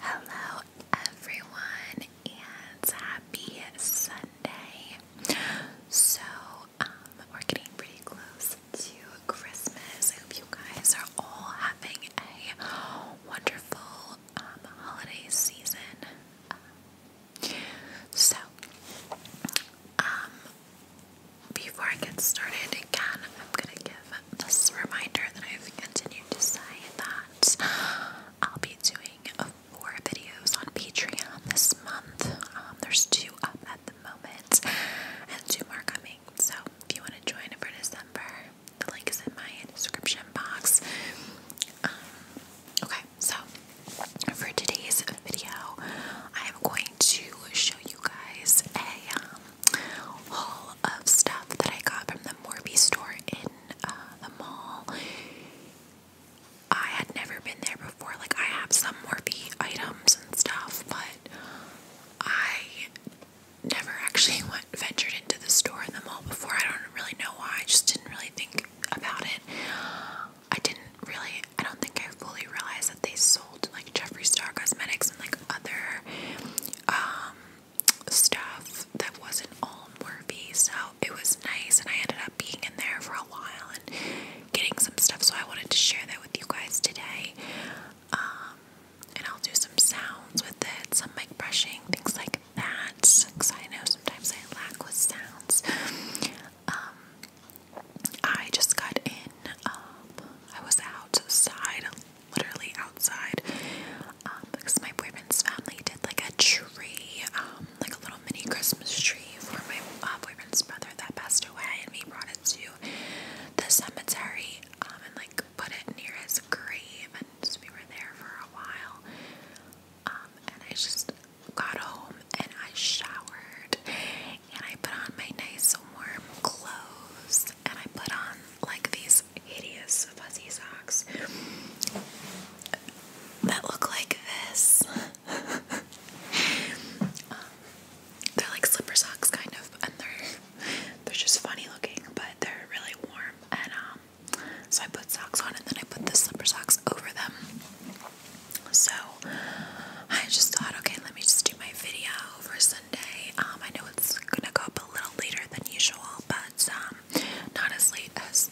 Hello, everyone, and happy Sunday. So, um, we're getting pretty close to Christmas. I hope you guys are all having a wonderful um, holiday season. Um, so, before I get started, again, I'm gonna give this reminder that I've continued to say that I'll be doing four videos on Patreon this month. Um, there's two up at the moment, and two more coming. So if you want to join for December, the link is in my description box. Um, okay, so for today's video, I am going to show you guys a um, haul of stuff that I got from the Morby store in uh, the mall. I had never been there before. Like, I have some Morphe items and stuff, but I never actually went ventured into the store in the mall before. I don't really know why. I just didn't really think about it. I didn't really, I don't think I fully realized that they sold like Jeffree Star Cosmetics and like other um, stuff that wasn't all Morphe, so it was nice, and I ended up being in there for a while and getting some stuff. So I wanted to share that with you guys today. Um, and I'll do some sounds with it, some mic brushing, things like that, because I know sometimes I lack with sounds. Um, I just got in, um, I was outside literally outside um, because my boyfriend's family did like a tree, um, like a little mini Christmas tree for my uh, boyfriend's brother that passed away, and we brought it to the cemetery um, and like put it near his grave, and we were there for a while. and I just got home and I showered and I put on my nice warm clothes and I put on like these hideous fuzzy socks that look like this. Um, they're like slipper socks kind of and they're they're just funny looking but they're really warm and um, so I put socks on and then I put the slipper socks over them. So I just thought, okay, let me just do my video for Sunday. Um, I know it's gonna go up a little later than usual, but not as late as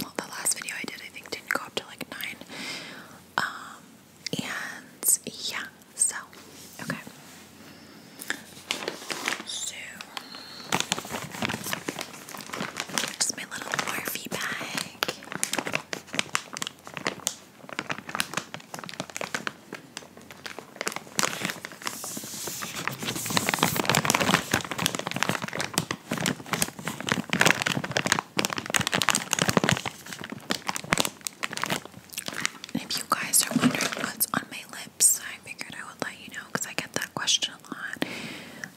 well, the last video I did, I think, didn't go up to like 9. Um, and yeah, so okay. So, just my little Morphe bag. If you guys are wondering what's on my lips, I figured I would let you know because I get that question a lot.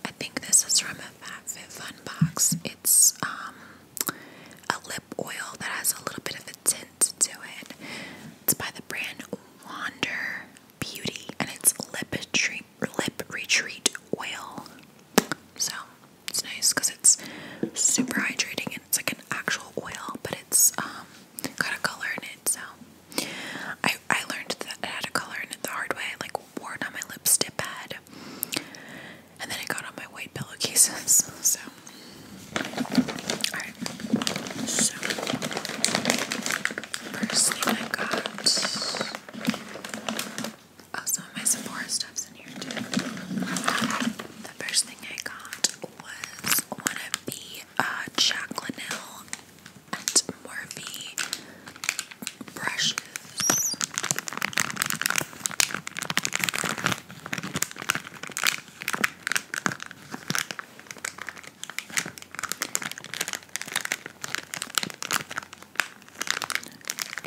I think this is from a Fat Fun box. It's um, a lip oil that has a little bit of a tint to it. It's by the brand Wander. Beauty and it's lip, treat, lip retreat oil. So it's nice because it's super hydrating and it's like an actual oil, but it's um, got a color in it. So I, I learned that it had a color in it the hard way. like wore it on my lipstick pad and then I got on my white pillowcases. So, so first thing I got. Also, oh, my Sephora stuff's in here too. The first thing I got was one of the uh, Jacquelinelle and brushes.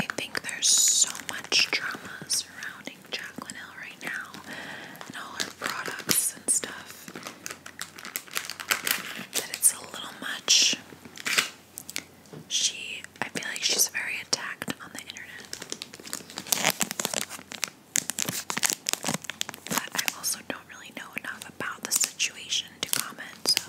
I think there's so much drama surrounding Jacqueline Hill right now all her products and stuff that it's a little much. She, I feel like she's very attacked on the internet. But I also don't really know enough about the situation to comment,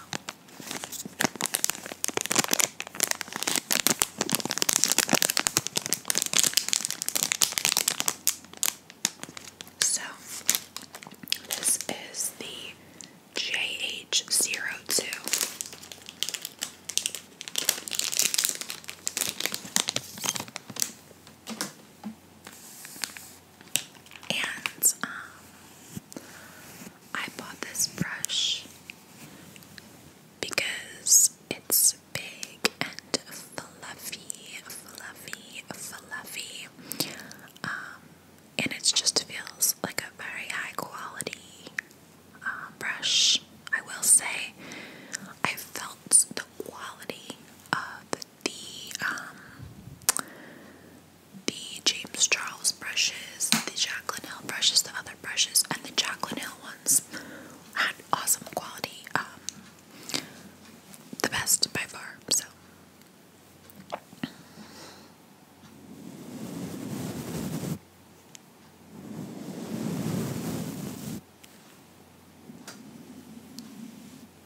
so. this is the JH02. And um, I bought this brush because it's big and fluffy, fluffy, fluffy. Um, and it just feels like a very high quality um, brush. I will say, I felt the quality of the the um the James Charles brushes, the Jacqueline Hill brushes, the other brushes, and the Jacqueline Hill ones had awesome quality. Um the best by far, so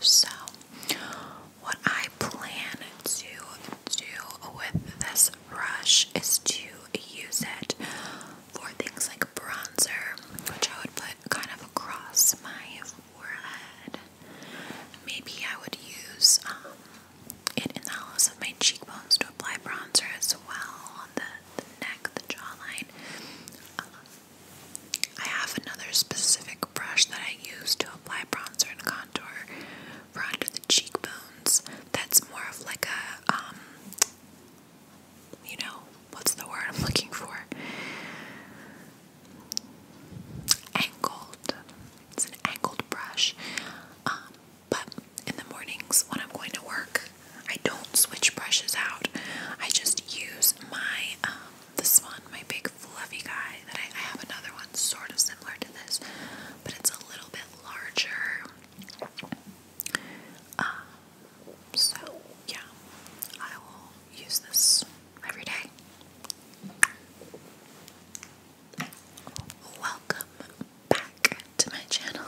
So, what I plan to do with this brush is to use it for things like bronzer, which I would put kind of across my forehead. Maybe I would use um, it in the hollows of my cheekbones to apply bronzer as well on the, the neck, the jawline. Um, I have another specific brush that I use to apply bronzer and contour for under the cheekbones. That's more of like a, um, you know, what's the word I'm looking for? Angled. It's an angled brush. Um, but in the mornings when I'm going to work, I don't switch brushes out. I just use my um, this one, my big fluffy guy, that I, have another one sort of similar to this, but it's a little bit larger. Um, so yeah, I will use this every day. Welcome back to my channel.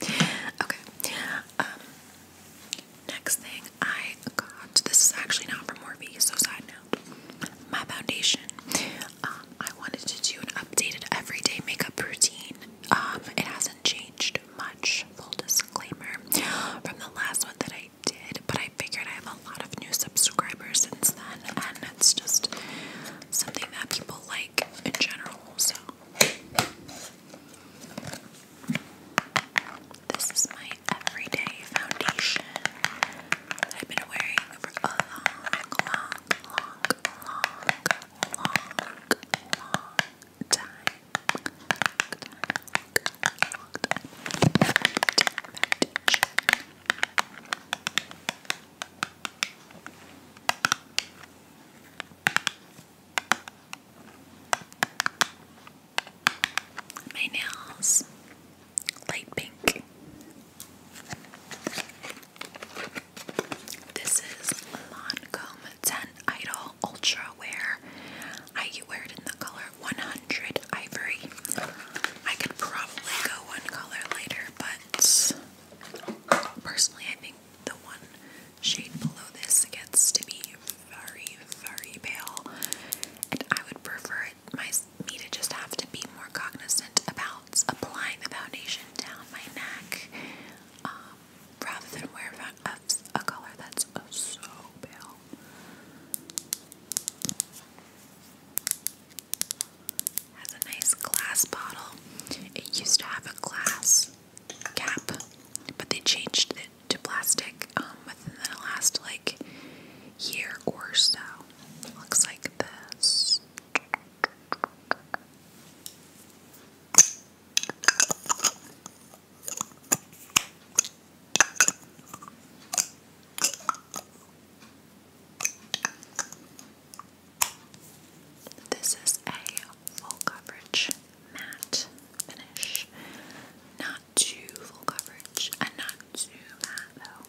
okay, um, next thing I got this is actually not from Morphe, so side note. My foundation. Um, I wanted to do an updated everyday makeup routine. Um, it hasn't changed much, full disclaimer, from the last one that I did, but I figured I have a lot of new subscribers since then, and it's just something that people like in general, so. This is my everyday foundation that I've been wearing for a long, long, long, long, long, long time. Foundation my nails light pink. This is Lancome 10 Idol Ultra Wear. I wear it in the color 100 Ivory. I could probably go one color later, but personally, I think the one shade below this gets to be very, very pale, and I would prefer it, my, me to just have to be more cognizant about applying the foundation down my neck um, rather than wear a, color that's so pale. Has a nice glass bottle. It used to have a glass cap, but they changed it to plastic um, within the last like year or so. Looks like this. This is a full coverage matte finish, not too full coverage and not too matte though.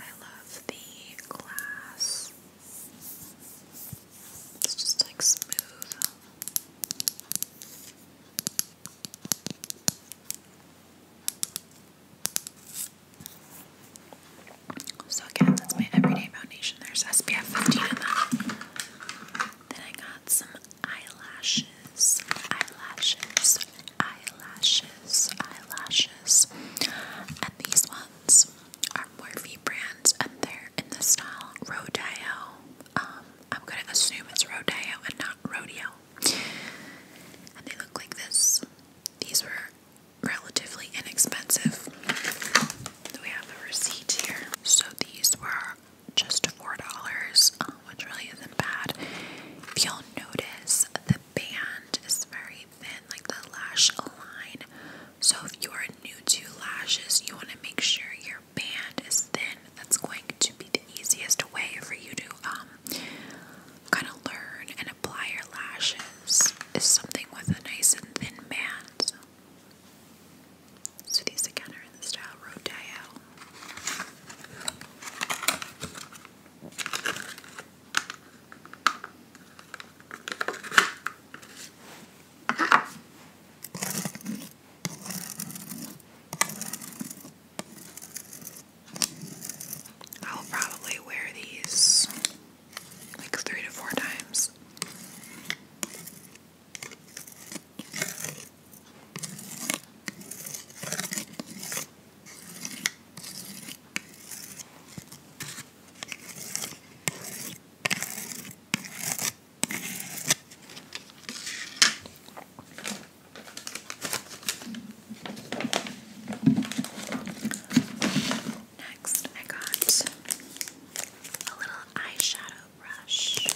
I love the glass. It's just like smooth. So again, that's my everyday foundation. There's SPF 15 in that. Then I got some eyelashes, eyelashes, eyelashes, eyelashes. And these ones are Morphe brands and they're in the style Rodeo. Um, I'm gonna assume it's Rodeo and not Rodeo. And they look like this. These were relatively inexpensive we have a receipt here. So these were just $4, um, which really isn't bad. If you'll notice, the band is very thin, like the lash line. So if you are new to lashes, you want to make sure your band is thin. That's going to be the easiest way for you to um, kind of learn and apply your lashes is something with a nice and thin band. So these again are in the style Rodeo. I'll probably wear these like three to four times. Next, I got a little eyeshadow brush.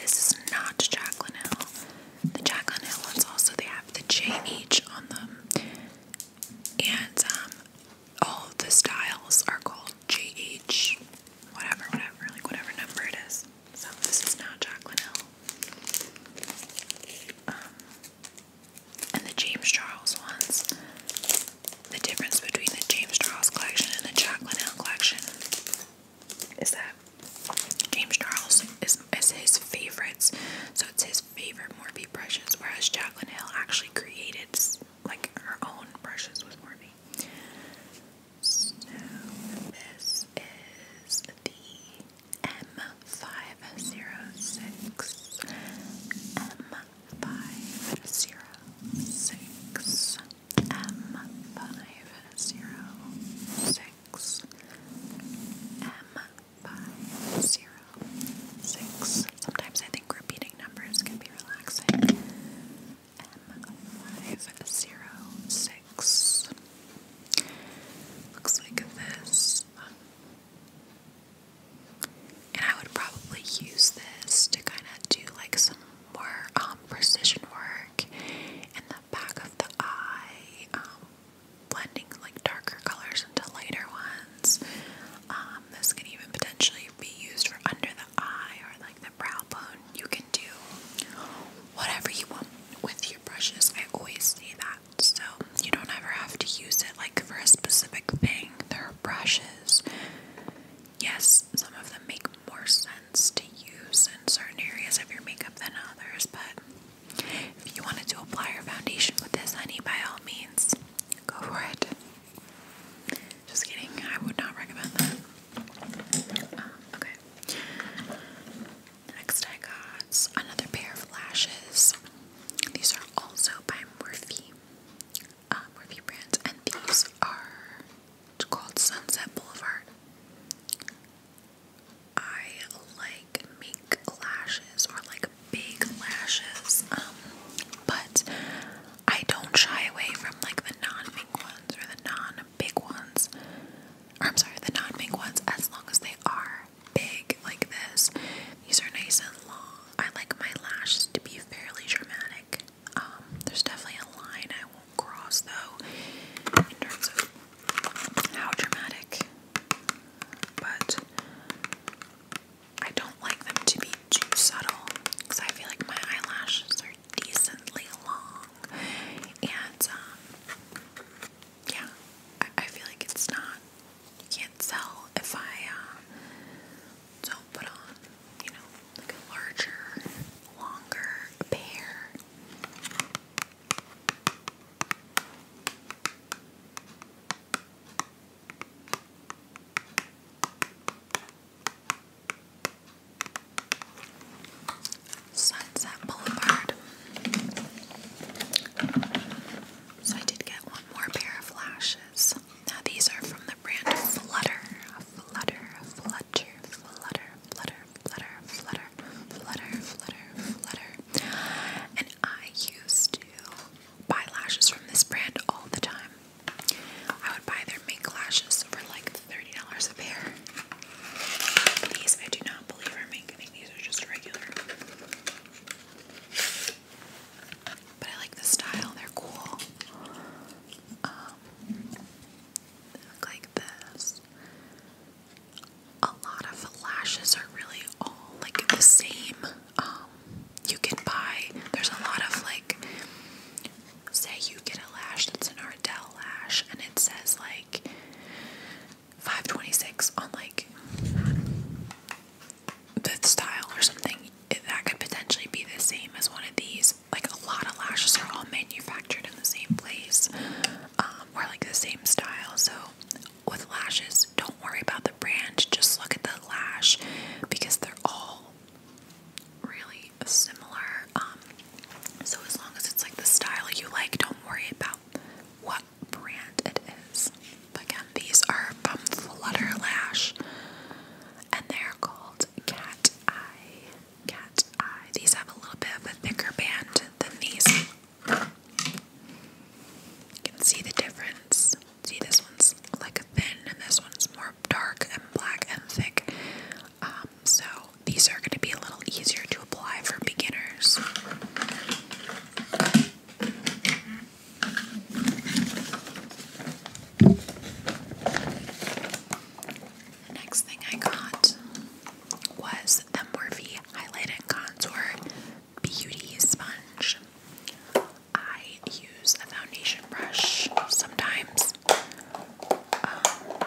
This is not Jaclyn The Jaclyn ones also they have the JH on them. And um all the styles are called JH, whatever, whatever, like whatever number it is. So this is not Jacqueline Hill. Um, and the James Charles ones, the difference between the James Charles collection and the Jacqueline Hill collection is that James Charles is, is his favorites, so it's his favorite Morphe brushes, whereas Jacqueline Hill actually created like her own brushes with Morphe. this is the M506. M506. M506. m five, zero, six. Sometimes I think repeating numbers can be relaxing. M five zero six. Looks like this. And I would probably use this to kind of do like some more um, precision work in the back of the eye, um, blending like darker colors into lighter ones, um, um, this can even potentially be used for under the eye or like the brow bone. You can do whatever you want with your brushes. I always say that. So you don't ever have to use it like for a specific thing. There are brushes. Yes, some of them make more sense to use in certain areas of your makeup than others, but if you wanted to apply your foundation with this honey, by all means, go for it. Just kidding, I would not recommend that. Um, okay. Next, I got another pair of lashes. These are also by Morphe, uh, Morphe brand, and these are called Sunset Boulevard. I like mink lashes or like big lashes, um, but I don't shy away from like the non big ones or the non-big ones. I'm sorry, the non big ones as long as they are big like this. These are nice and long. I like my lashes to be fairly dramatic. Um, there's definitely a line I won't cross though in terms of how dramatic. But I don't like them to be too subtle because I feel like my eyelashes are decently long and um, yeah, I, feel like it's not, you can't sell if I uh, don't put on, you know, like a larger, longer pair. Sunset Boulevard. So I did get one more pair of lashes. Now these are from the brand Flutter. Flutter, Flutter, Flutter, Flutter, Flutter, Flutter, Flutter, Flutter, Flutter. And I used to buy lashes from this brand all the time. I would buy their mink lashes for like $30 a pair. These I do not believe are mink. I think these are just regular. But I like the style. They're cool. Um, they look like this. A lot of lashes are really all like the same um, you can buy, there's a lot of like, say you get a lash that's an Ardell lash and it says like 526 on like the style or something. That could potentially be the same as one of these. Like a lot of lashes are all manufactured in the same place um, or like the same style. So with lashes, don't worry about the brand, just look at the lash because they're all really similar. Um, so, as long as it's like the style you like, don't worry about what brand it is. But again, these are from Flutter Lash and they're called Cat Eye. Cat Eye. These have a little bit of a thicker band than these. You can see the difference. See, this one's like thin, and this one's more dark and black and thick. Um, so these are going to be a little easier to apply for beginners. The next thing I got was the Morphe Highlight and Contour Beauty Sponge. I use a foundation brush sometimes. Um,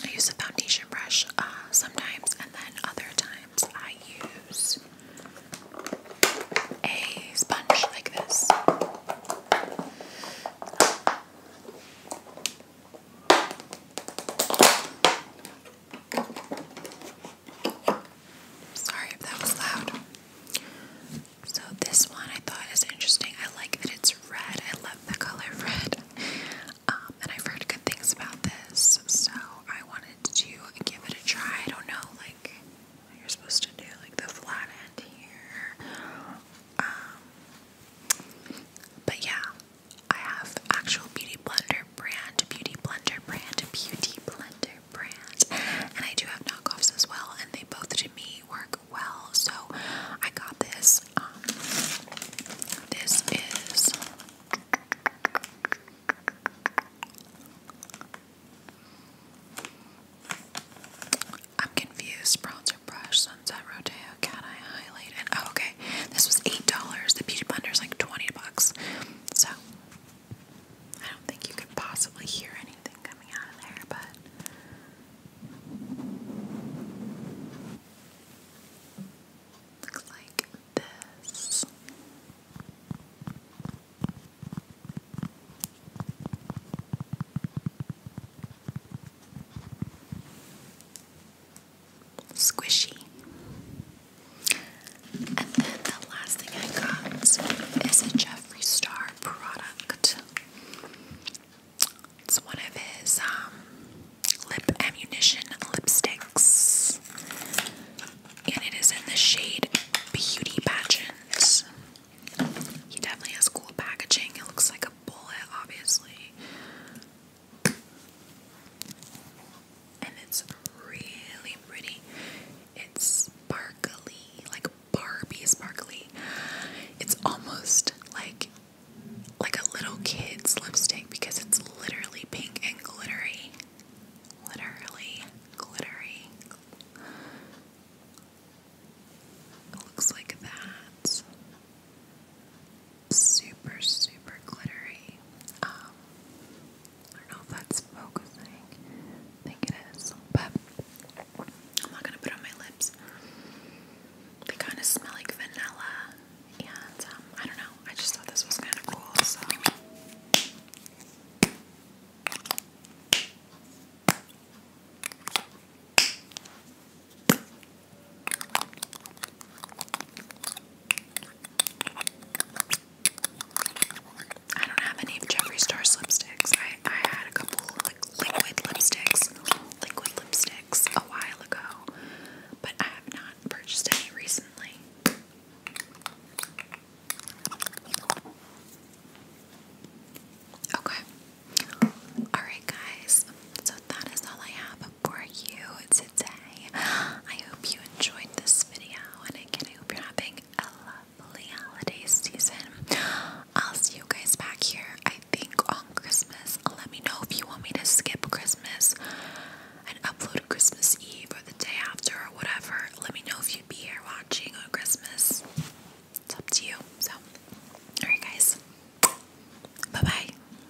I use a foundation brush uh, sometimes, and then other times I use a sponge like this. Sorry if that was loud. So this one I thought is interesting. I like that it's red. I love the color red. Um, and I've heard good things about this, so I wanted to give it a try. I don't know, like you're supposed to do, like the flat end here. Um, but yeah, I have actual Beauty Blender brand, Beauty Blender brand, Beauty Blender brand, and I do have knockoffs as well, and they both to me work well. So I got this. Um, this is I'm confused. Bronzer brush, sunset rodeo. Oh, okay. This was $8. The Beauty Blender is like 20 bucks. So, I don't think you could possibly hear anything coming out of there, but. Looks like this squishy. And then the last thing I got is a Jeffree Star product. It's one of his um, lip ammunition lipsticks. And it is in the shade Beauty Pageants. He definitely has cool packaging. It looks like a bullet, obviously. And it's really pretty. It's sparkly, like Barbie sparkly. It's almost like like a little kid's lipstick because it's literally pink and glittery. Literally glittery. looks like that super, super glittery. Um, I don't know if that's focusing. I think it is, but I'm not gonna put on my lips. They kind of smell like vanilla, and um, I don't know. I just thought this was kind of cool, so. I don't have any of Jeffree lipsticks. I, I had a couple like liquid lipsticks, liquid lipsticks a while ago, but I have not purchased any recently. Okay. Alright guys, so that is all I have for you today. I hope you enjoyed this video, and again, I hope you're having a lovely holiday season. I'll see you guys back here, I think, on Christmas. Let me know if you want me to skip Christmas and upload Christmas Eve or the day after or whatever. Let me know if you'd be here watching on Christmas. It's up to you. So, alright, guys. Bye bye.